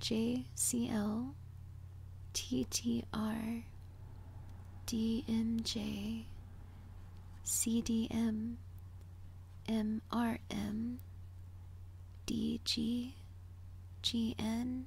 J C L T T R D M J C D M M R M D G G N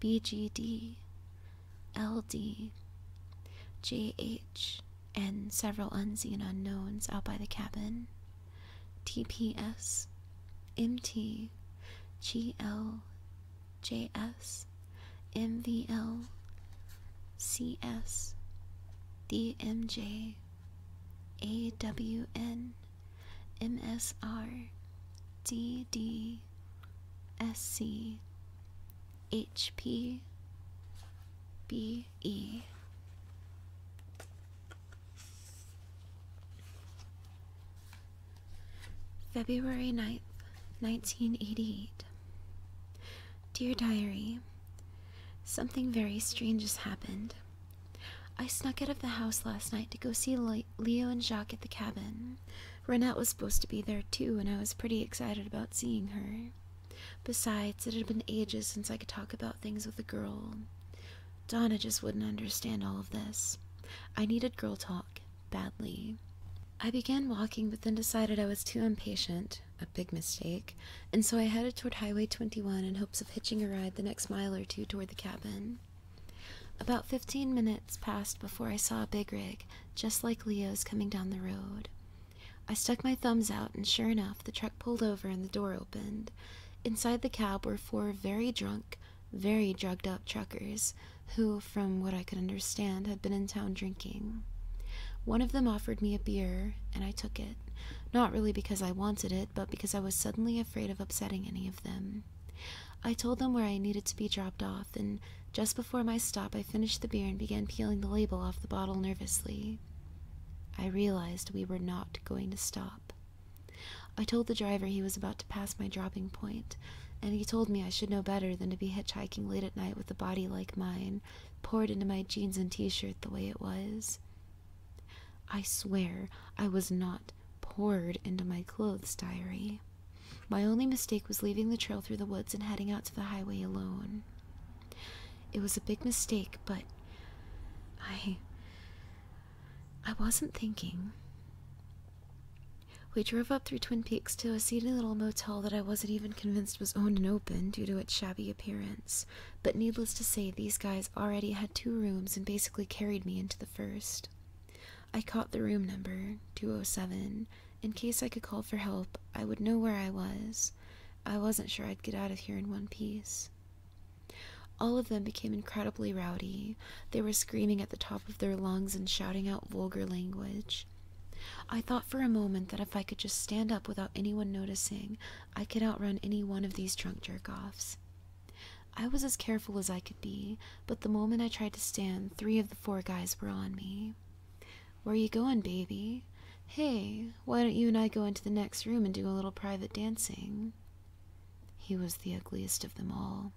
B G D, L D, J H, and several unseen unknowns out by the cabin, T P S, M T, G L, J S, M V L, C S, D M J, A W N. MSR February 9th, 1988. Dear Diary, Something very strange has happened. I snuck out of the house last night to go see light. Leo and Jacques at the cabin. Renette was supposed to be there too, and I was pretty excited about seeing her. Besides, it had been ages since I could talk about things with a girl. Donna just wouldn't understand all of this. I needed girl talk badly. I began walking, but then decided I was too impatient, a big mistake, and so I headed toward Highway 21 in hopes of hitching a ride the next mile or two toward the cabin. About fifteen minutes passed before I saw a big rig, just like Leo's coming down the road. I stuck my thumbs out, and sure enough, the truck pulled over and the door opened. Inside the cab were four very drunk, very drugged up truckers who, from what I could understand, had been in town drinking. One of them offered me a beer, and I took it, not really because I wanted it, but because I was suddenly afraid of upsetting any of them. I told them where I needed to be dropped off, and just before my stop, I finished the beer and began peeling the label off the bottle nervously. I realized we were not going to stop. I told the driver he was about to pass my dropping point, and he told me I should know better than to be hitchhiking late at night with a body like mine poured into my jeans and t shirt the way it was. I swear I was not poured into my clothes, diary. My only mistake was leaving the trail through the woods and heading out to the highway alone. It was a big mistake, but I. I wasn't thinking. We drove up through Twin Peaks to a seedy little motel that I wasn't even convinced was owned and open due to its shabby appearance, but needless to say, these guys already had two rooms and basically carried me into the first. I caught the room number 207. In case I could call for help, I would know where I was. I wasn't sure I'd get out of here in one piece. All of them became incredibly rowdy. They were screaming at the top of their lungs and shouting out vulgar language. I thought for a moment that if I could just stand up without anyone noticing, I could outrun any one of these drunk jerk offs. I was as careful as I could be, but the moment I tried to stand, three of the four guys were on me. Where you going, baby? Hey, why don't you and I go into the next room and do a little private dancing? He was the ugliest of them all.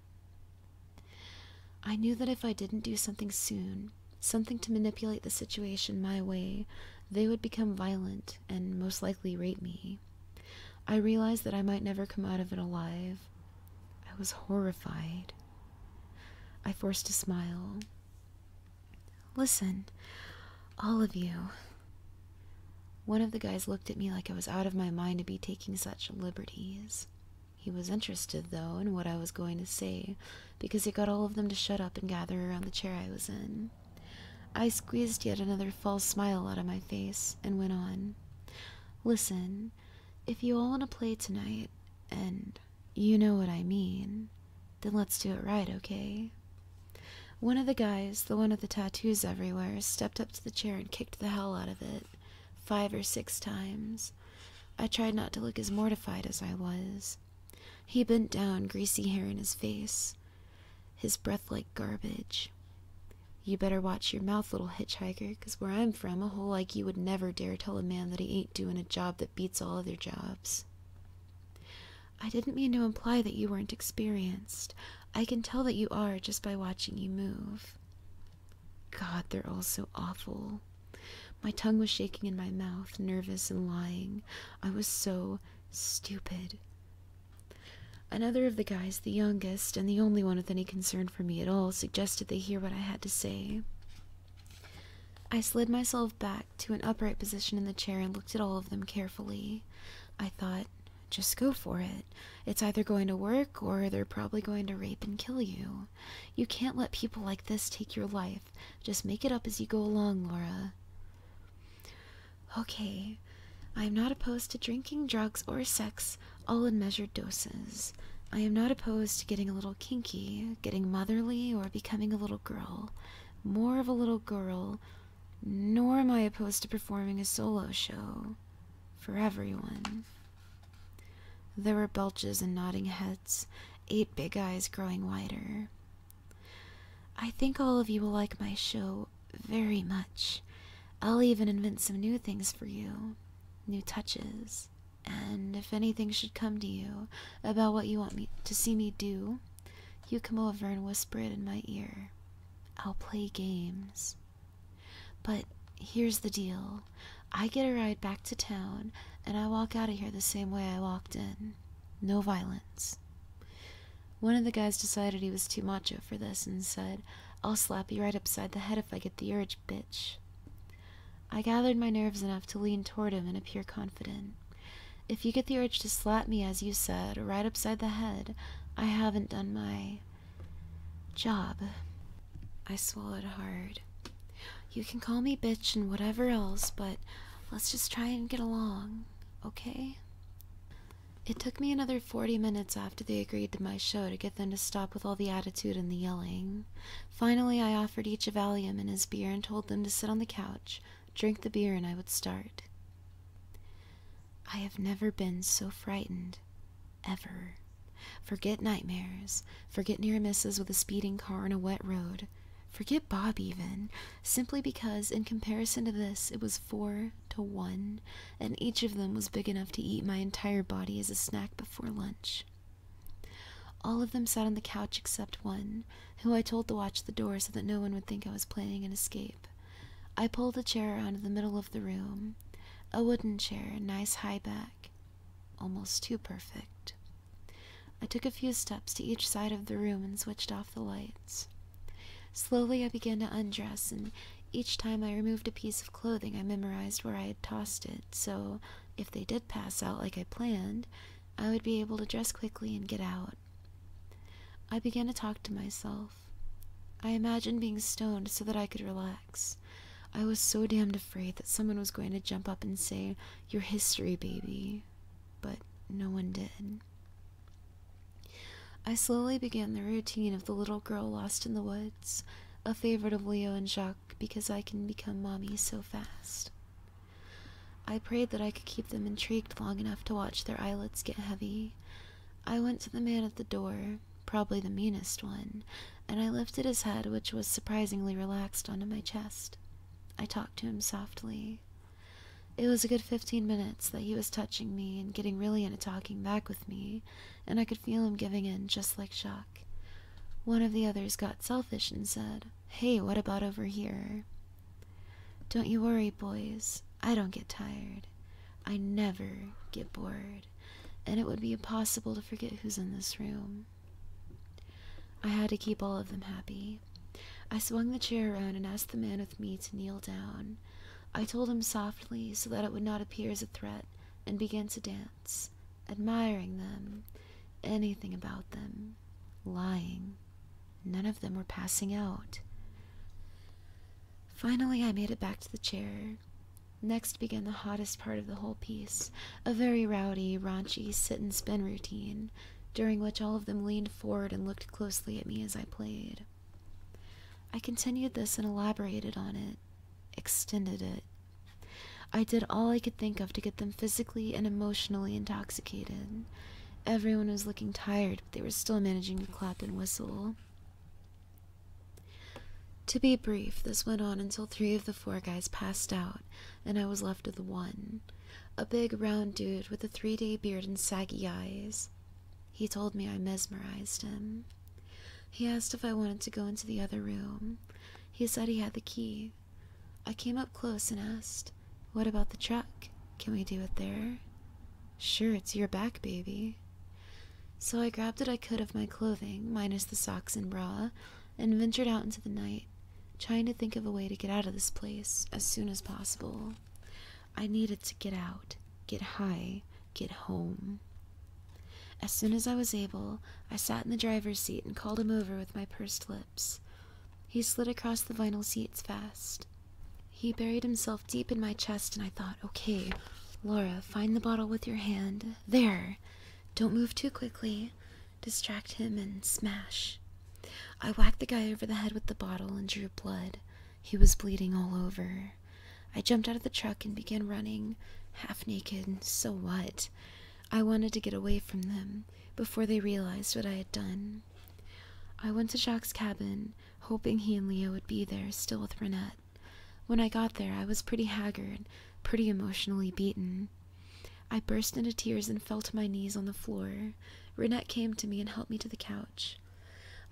I knew that if I didn't do something soon, something to manipulate the situation my way, they would become violent and most likely rape me. I realized that I might never come out of it alive I was horrified. I forced a smile. Listen, all of you. One of the guys looked at me like I was out of my mind to be taking such liberties. He was interested, though, in what I was going to say, because it got all of them to shut up and gather around the chair I was in. I squeezed yet another false smile out of my face and went on. Listen, if you all want to play tonight, and you know what I mean, then let's do it right, okay? One of the guys, the one with the tattoos everywhere, stepped up to the chair and kicked the hell out of it, five or six times. I tried not to look as mortified as I was. He bent down, greasy hair in his face, his breath like garbage. You better watch your mouth, little hitchhiker, 'cause where I'm from, a hole like you would never dare tell a man that he ain't doing a job that beats all other jobs. I didn't mean to imply that you weren't experienced. I can tell that you are just by watching you move. God, they're all so awful. My tongue was shaking in my mouth, nervous and lying. I was so stupid. Another of the guys, the youngest and the only one with any concern for me at all, suggested they hear what I had to say. I slid myself back to an upright position in the chair and looked at all of them carefully. I thought, just go for it. It's either going to work or they're probably going to rape and kill you. You can't let people like this take your life. Just make it up as you go along, Laura. Okay, I am not opposed to drinking, drugs, or sex all in measured doses. I am not opposed to getting a little kinky, getting motherly, or becoming a little girl. More of a little girl. Nor am I opposed to performing a solo show. For everyone. There were belches and nodding heads, eight big eyes growing wider. I think all of you will like my show very much. I'll even invent some new things for you new touches, and if anything should come to you about what you want me to see me do, you come over and whisper it in my ear. I'll play games. But here's the deal I get a ride back to town, and I walk out of here the same way I walked in. No violence. One of the guys decided he was too macho for this and said, I'll slap you right upside the head if I get the urge, bitch. I gathered my nerves enough to lean toward him and appear confident. If you get the urge to slap me, as you said, right upside the head, I haven't done my job. I swallowed hard. You can call me bitch and whatever else, but let's just try and get along, okay? It took me another 40 minutes after they agreed to my show to get them to stop with all the attitude and the yelling. Finally, I offered each a Valium and his beer and told them to sit on the couch, drink the beer, and I would start. I have never been so frightened. Ever. Forget nightmares. Forget near misses with a speeding car on a wet road. Forget Bob, even. Simply because, in comparison to this, it was four to one and each of them was big enough to eat my entire body as a snack before lunch. All of them sat on the couch except one, who I told to watch the door so that no one would think I was planning an escape. I pulled a chair out of the middle of the room, a wooden chair, a nice high back, almost too perfect. I took a few steps to each side of the room and switched off the lights. Slowly I began to undress and each time I removed a piece of clothing, I memorized where I had tossed it, so if they did pass out like I planned, I would be able to dress quickly and get out. I began to talk to myself. I imagined being stoned so that I could relax. I was so damned afraid that someone was going to jump up and say, Your history, baby. But no one did. I slowly began the routine of the little girl lost in the woods, a favorite of Leo and Jacques because I can become mommy so fast. I prayed that I could keep them intrigued long enough to watch their eyelids get heavy. I went to the man at the door, probably the meanest one, and I lifted his head, which was surprisingly relaxed, onto my chest. I talked to him softly. It was a good fifteen minutes that he was touching me and getting really into talking back with me, and I could feel him giving in, just like Jacques. One of the others got selfish and said, Hey, what about over here? Don't you worry, boys. I don't get tired. I never get bored, and it would be impossible to forget who's in this room. I had to keep all of them happy. I swung the chair around and asked the man with me to kneel down. I told him softly so that it would not appear as a threat and began to dance, admiring them, anything about them, lying. None of them were passing out. Finally, I made it back to the chair. Next began the hottest part of the whole piece, a very rowdy, raunchy sit and spin routine, during which all of them leaned forward and looked closely at me as I played. I continued this and elaborated on it extended it. I did all I could think of to get them physically and emotionally intoxicated. Everyone was looking tired, but they were still managing to clap and whistle. To be brief, this went on until three of the four guys passed out, and I was left with one. A big, round dude with a three day beard and saggy eyes. He told me I mesmerized him. He asked if I wanted to go into the other room. He said he had the key. I came up close and asked, What about the truck? Can we do it there? Sure, it's your back, baby. So I grabbed what I could of my clothing, minus the socks and bra, and ventured out into the night, trying to think of a way to get out of this place as soon as possible. I needed to get out, get high, get home. As soon as I was able, I sat in the driver's seat and called him over with my pursed lips. He slid across the vinyl seats fast. He buried himself deep in my chest, and I thought, okay, Laura, find the bottle with your hand. There! Don't move too quickly. Distract him and smash. I whacked the guy over the head with the bottle and drew blood. He was bleeding all over. I jumped out of the truck and began running, half naked. So what? I wanted to get away from them before they realized what I had done. I went to Jack's cabin, hoping he and Leo would be there, still with Renette. When I got there, I was pretty haggard, pretty emotionally beaten. I burst into tears and fell to my knees on the floor. Renette came to me and helped me to the couch.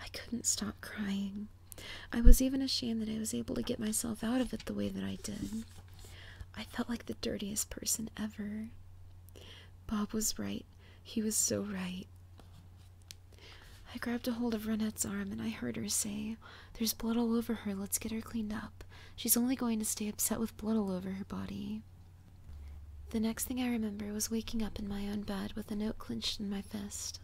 I couldn't stop crying. I was even ashamed that I was able to get myself out of it the way that I did. I felt like the dirtiest person ever. Bob was right. He was so right. I grabbed a hold of Renette's arm and I heard her say, There's blood all over her. Let's get her cleaned up. She's only going to stay upset with blood all over her body. The next thing I remember was waking up in my own bed with a note clenched in my fist.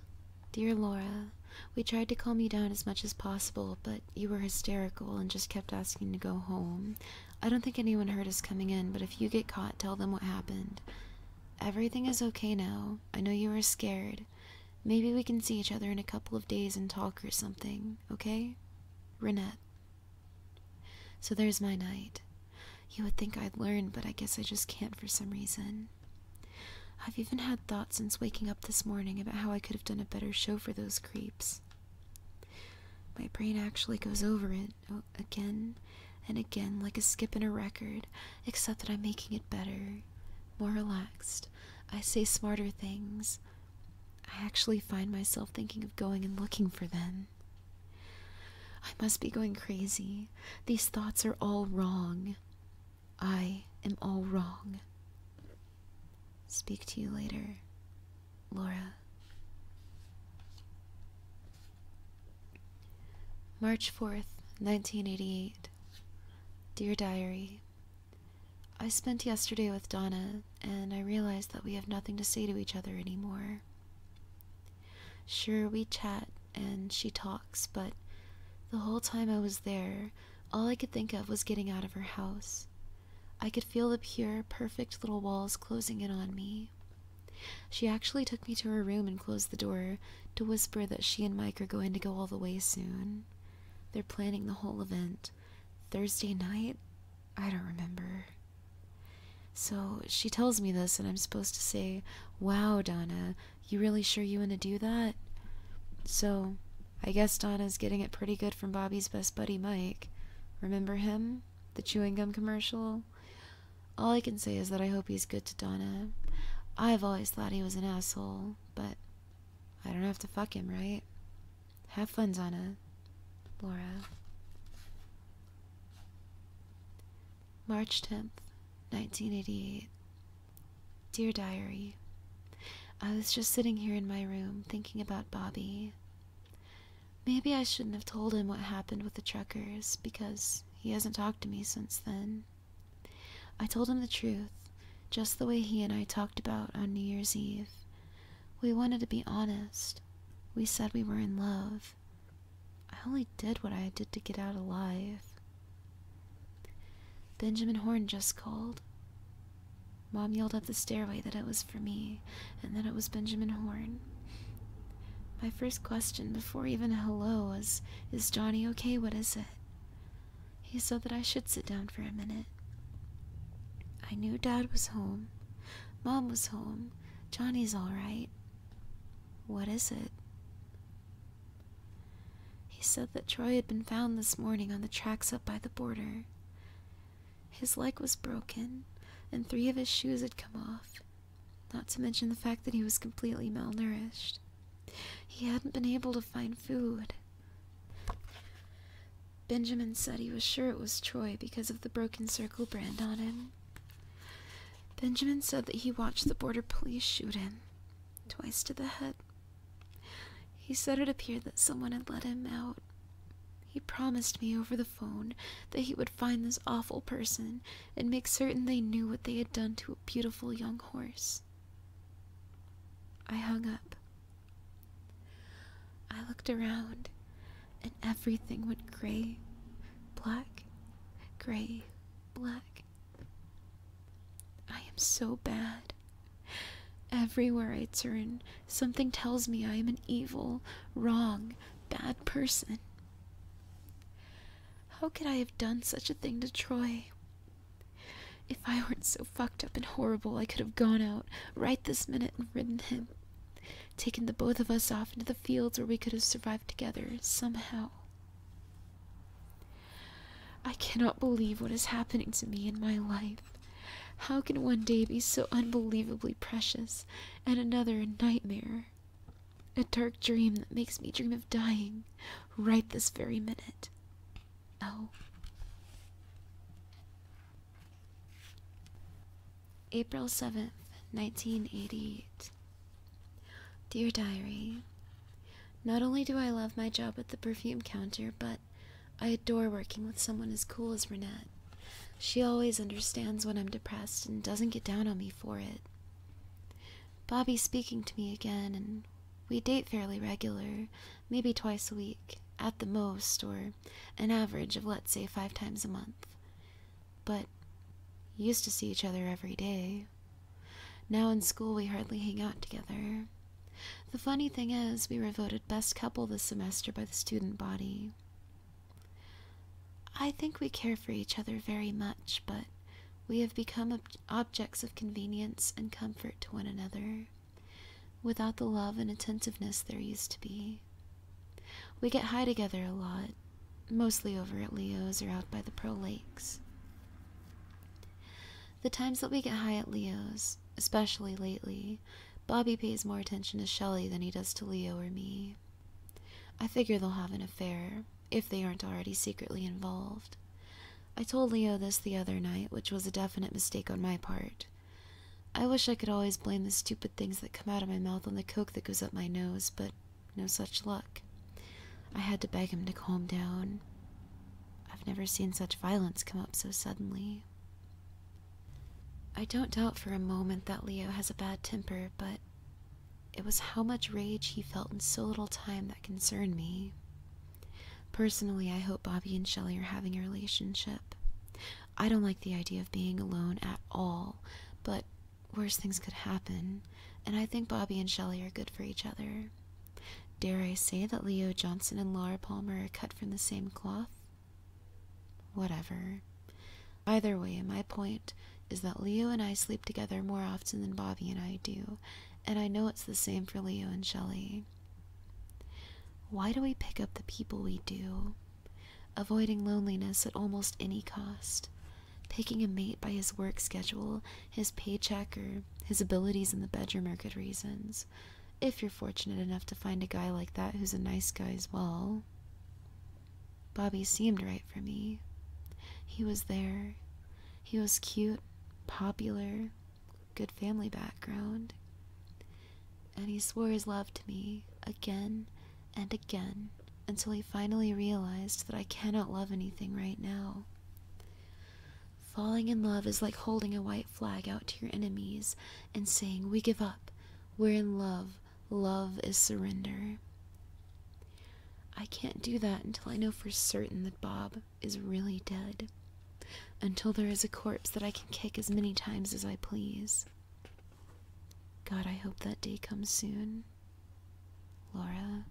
Dear Laura, we tried to calm you down as much as possible, but you were hysterical and just kept asking to go home. I don't think anyone heard us coming in, but if you get caught, tell them what happened. Everything is okay now. I know you were scared. Maybe we can see each other in a couple of days and talk or something, okay? Renette. So there's my night. You would think I'd learn, but I guess I just can't for some reason. I've even had thoughts since waking up this morning about how I could have done a better show for those creeps. My brain actually goes over it oh, again and again, like a skip in a record, except that I'm making it better, more relaxed. I say smarter things. I actually find myself thinking of going and looking for them. I must be going crazy. These thoughts are all wrong. I am all wrong. Speak to you later, Laura. March 4th, 1988. Dear Diary, I spent yesterday with Donna, and I realize that we have nothing to say to each other anymore. Sure, we chat and she talks, but the whole time I was there, all I could think of was getting out of her house. I could feel the pure, perfect little walls closing in on me. She actually took me to her room and closed the door to whisper that she and Mike are going to go all the way soon. They're planning the whole event. Thursday night? I don't remember. So she tells me this, and I'm supposed to say, Wow, Donna, you really sure you want to do that? So, I guess Donna's getting it pretty good from Bobby's best buddy Mike. Remember him? The chewing gum commercial? All I can say is that I hope he's good to Donna. I've always thought he was an asshole, but I don't have to fuck him, right? Have fun, Donna. Laura. March 10th, 1988. Dear Diary, I was just sitting here in my room thinking about Bobby. Maybe I shouldn't have told him what happened with the truckers because he hasn't talked to me since then. I told him the truth, just the way he and I talked about on New Year's Eve. We wanted to be honest. We said we were in love. I only did what I did to get out alive. Benjamin Horn just called. Mom yelled up the stairway that it was for me and that it was Benjamin Horn. My first question before even a hello was, Is Johnny okay? What is it? He said that I should sit down for a minute. I knew Dad was home. Mom was home. Johnny's alright. What is it? He said that Troy had been found this morning on the tracks up by the border. His leg was broken, and three of his shoes had come off, not to mention the fact that he was completely malnourished. He hadn't been able to find food. Benjamin said he was sure it was Troy because of the broken circle brand on him. Benjamin said that he watched the border police shoot him, twice to the head, he said it appeared that someone had let him out. He promised me over the phone that he would find this awful person and make certain they knew what they had done to a beautiful young horse. I hung up. I looked around, and everything went gray, black, gray, black. I am so bad. Everywhere I turn, something tells me I am an evil, wrong, bad person. How could I have done such a thing to Troy? If I weren't so fucked up and horrible, I could have gone out right this minute and ridden him, taken the both of us off into the fields where we could have survived together somehow. I cannot believe what is happening to me in my life. How can one day be so unbelievably precious and another a nightmare? A dark dream that makes me dream of dying right this very minute. Oh. April 7th, 1988. Dear Diary, not only do I love my job at the perfume counter, but I adore working with someone as cool as Renette. She always understands when I'm depressed and doesn't get down on me for it. Bobby's speaking to me again, and we date fairly regular, maybe twice a week, at the most, or an average of let's say five times a month. But used to see each other every day. Now in school, we hardly hang out together. The funny thing is, we were voted best couple this semester by the student body. I think we care for each other very much, but we have become objects of convenience and comfort to one another, without the love and attentiveness there used to be. We get high together a lot, mostly over at Leo's or out by the Pro Lakes. The times that we get high at Leo's, especially lately, Bobby pays more attention to Shelley than he does to Leo or me. I figure they'll have an affair, if they aren't already secretly involved. I told Leo this the other night, which was a definite mistake on my part. I wish I could always blame the stupid things that come out of my mouth on the coke that goes up my nose, but no such luck. I had to beg him to calm down. I've never seen such violence come up so suddenly. I don't doubt for a moment that Leo has a bad temper, but it was how much rage he felt in so little time that concerned me. Personally, I hope Bobby and Shelly are having a relationship. I don't like the idea of being alone at all, but worse things could happen, and I think Bobby and Shelly are good for each other. Dare I say that Leo Johnson and Laura Palmer are cut from the same cloth? Whatever. Either way, my point is that Leo and I sleep together more often than Bobby and I do, and I know it's the same for Leo and Shelley. Why do we pick up the people we do? Avoiding loneliness at almost any cost. Picking a mate by his work schedule his paycheck or his abilities in the bedroom are good reasons. If you're fortunate enough to find a guy like that who's a nice guy as well. Bobby seemed right for me. He was there. He was cute, popular, good family background. And he swore his love to me again and again until he finally realized that I cannot love anything right now. Falling in love is like holding a white flag out to your enemies and saying, We give up. We're in love. Love is surrender. I can't do that until I know for certain that Bob is really dead. Until there is a corpse that I can kick as many times as I please. God, I hope that day comes soon. Laura.